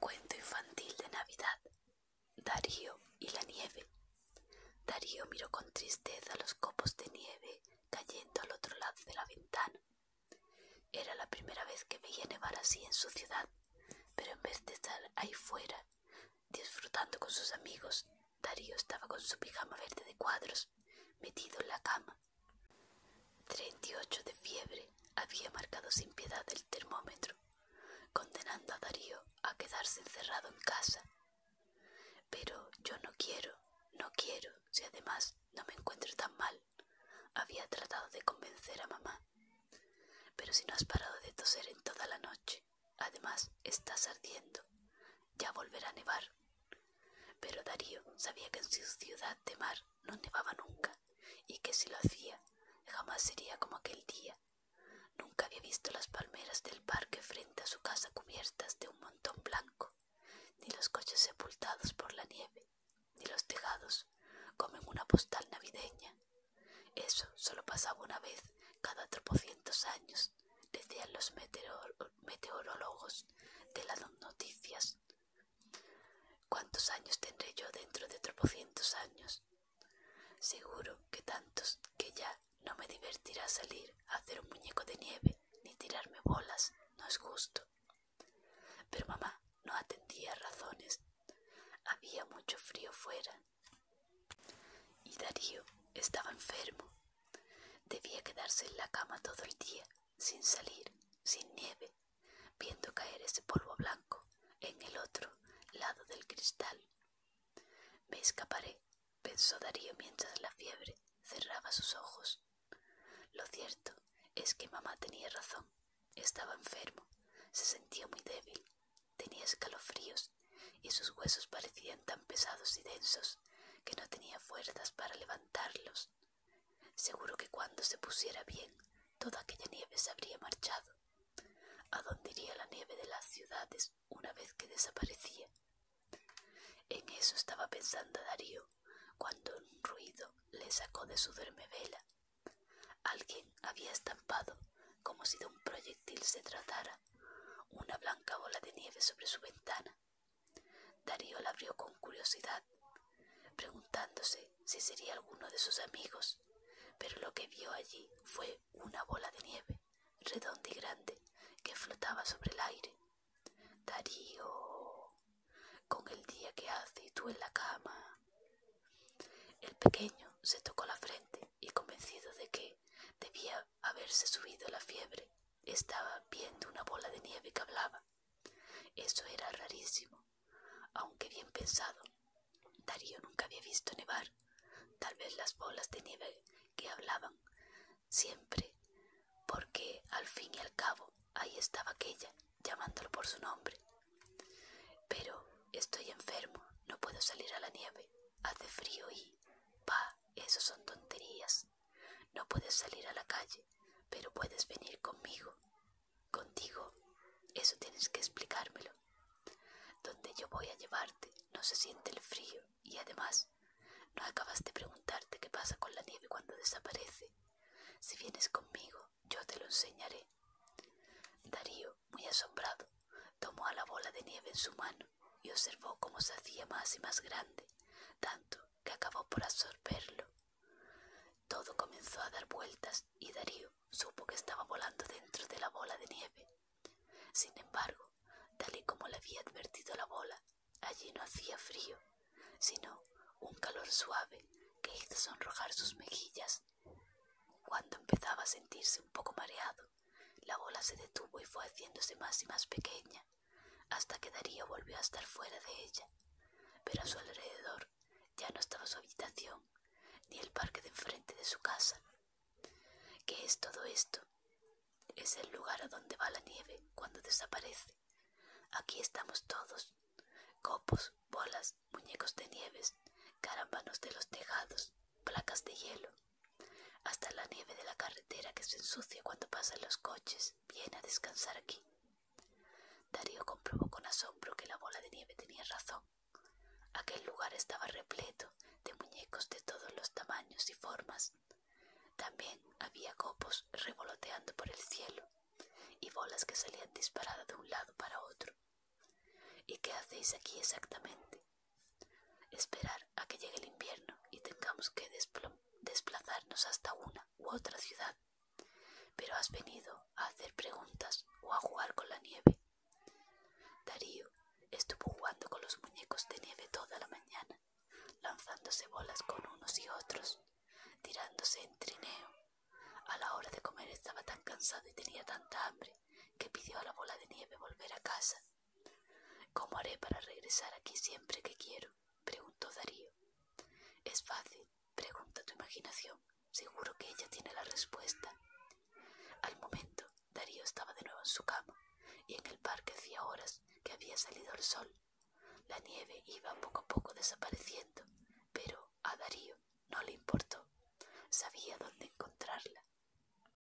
Cuento infantil de Navidad. Darío y la nieve. Darío miró con tristeza los copos de nieve cayendo al otro lado de la ventana. Era la primera vez que veía nevar así en su ciudad, pero en vez de estar ahí fuera, disfrutando con sus amigos, Darío estaba con su pijama verde de cuadros, metido en la cama, 38 de fiebre había marcado sin piedad el termómetro, condenando a Darío a quedarse encerrado en casa. Pero yo no quiero, no quiero, si además no me encuentro tan mal. Había tratado de convencer a mamá. Pero si no has parado de toser en toda la noche, además estás ardiendo. Ya volverá a nevar. Pero Darío sabía que en su ciudad de mar no nevaba nunca, y que si lo hacía, jamás sería como aquel día. Nunca había visto las palmeras del parque frente a su casa cubiertas de un montón blanco, ni los coches sepultados por la nieve, ni los tejados como en una postal navideña. Eso solo pasaba una vez cada tropocientos años, decían los meteorólogos de las noticias ¿Cuántos años tendré yo dentro de tropocientos años? Seguro que tantos que ya no me divertirá salir a hacer un muñeco de nieve ni tirarme bolas, no es justo. Pero mamá no atendía razones. Había mucho frío fuera. Y Darío estaba enfermo. Debía quedarse en la cama todo el día, sin salir, sin nieve, viendo caer ese polvo blanco en el otro lado del cristal. Me escaparé, pensó Darío mientras la fiebre cerraba sus ojos. Lo cierto es que mamá tenía razón. Estaba enfermo, se sentía muy débil, tenía escalofríos y sus huesos parecían tan pesados y densos que no tenía fuerzas para levantarlos. Seguro que cuando se pusiera bien, toda aquella nieve se habría marchado. ¿A dónde iría la nieve de las ciudades una vez que desaparecía? En eso estaba pensando Darío, cuando un ruido le sacó de su duermevela. Alguien había estampado, como si de un proyectil se tratara, una blanca bola de nieve sobre su ventana. Darío la abrió con curiosidad, preguntándose si sería alguno de sus amigos, pero lo que vio allí fue una bola de nieve, redonda y grande, que flotaba sobre el aire. Darío, con el día que hace y tú en la cama. El pequeño se tocó la frente y convencido de que debía haberse subido la fiebre, estaba viendo una bola de nieve que hablaba. Eso era rarísimo, aunque bien pensado. Darío nunca había visto nevar. Tal vez las bolas de nieve que hablaban siempre, porque al fin y al cabo ahí estaba aquella, llamándolo por su nombre. Pero estoy enfermo, no puedo salir a la nieve, hace frío y... pa, eso son tonterías. No puedes salir a la calle, pero puedes venir conmigo. Contigo, eso tienes que explicármelo. Donde yo voy a llevarte no se siente el frío y además no acabas de preguntarte qué pasa con la nieve cuando desaparece. Si vienes conmigo, yo te lo enseñaré. Darío, muy asombrado, tomó a la bola de nieve en su mano y observó cómo se hacía más y más grande, tanto que acabó por absorberlo. Todo comenzó a dar vueltas y Darío supo que estaba volando dentro de la bola de nieve. Sin embargo, tal y como le había advertido la bola, allí no hacía frío, sino un calor suave que hizo sonrojar sus mejillas. Cuando empezaba a sentirse un poco mareado, la bola se detuvo y fue haciéndose más y más pequeña, hasta que Darío volvió a estar fuera de ella, pero a su alrededor ya no estaba su habitación ni el parque de enfrente de su casa. ¿Qué es todo esto? Es el lugar a donde va la nieve cuando desaparece. Aquí estamos todos. Copos, bolas, muñecos de nieves, carambanos de los tejados, placas de hielo. Hasta la nieve de la carretera que se ensucia cuando pasan los coches viene a descansar aquí. Darío comprobó con asombro que la bola de nieve tenía razón. Aquel lugar estaba repleto de muñecos de todos los tamaños y formas. También había copos revoloteando por el cielo y bolas que salían disparadas de un lado para otro. ¿Y qué hacéis aquí exactamente? Esperar a que llegue el invierno y tengamos que desplazarnos hasta una u otra ciudad. Pero has venido a hacer preguntas o a jugar con la nieve. Darío estuvo jugando con los muñecos de nieve toda la mañana, lanzándose bolas con unos y otros, tirándose en trineo. A la hora de comer estaba tan cansado y tenía tanta hambre que pidió a la bola de nieve volver a casa. ¿Cómo haré para regresar aquí siempre que quiero? preguntó Darío. Es fácil, pregunta tu imaginación. Seguro que ella tiene la respuesta. Al momento, Darío estaba de nuevo en su cama, y en el parque hacía horas que había salido el sol. La nieve iba poco a poco desapareciendo, pero a Darío no le importó. Sabía dónde encontrarla.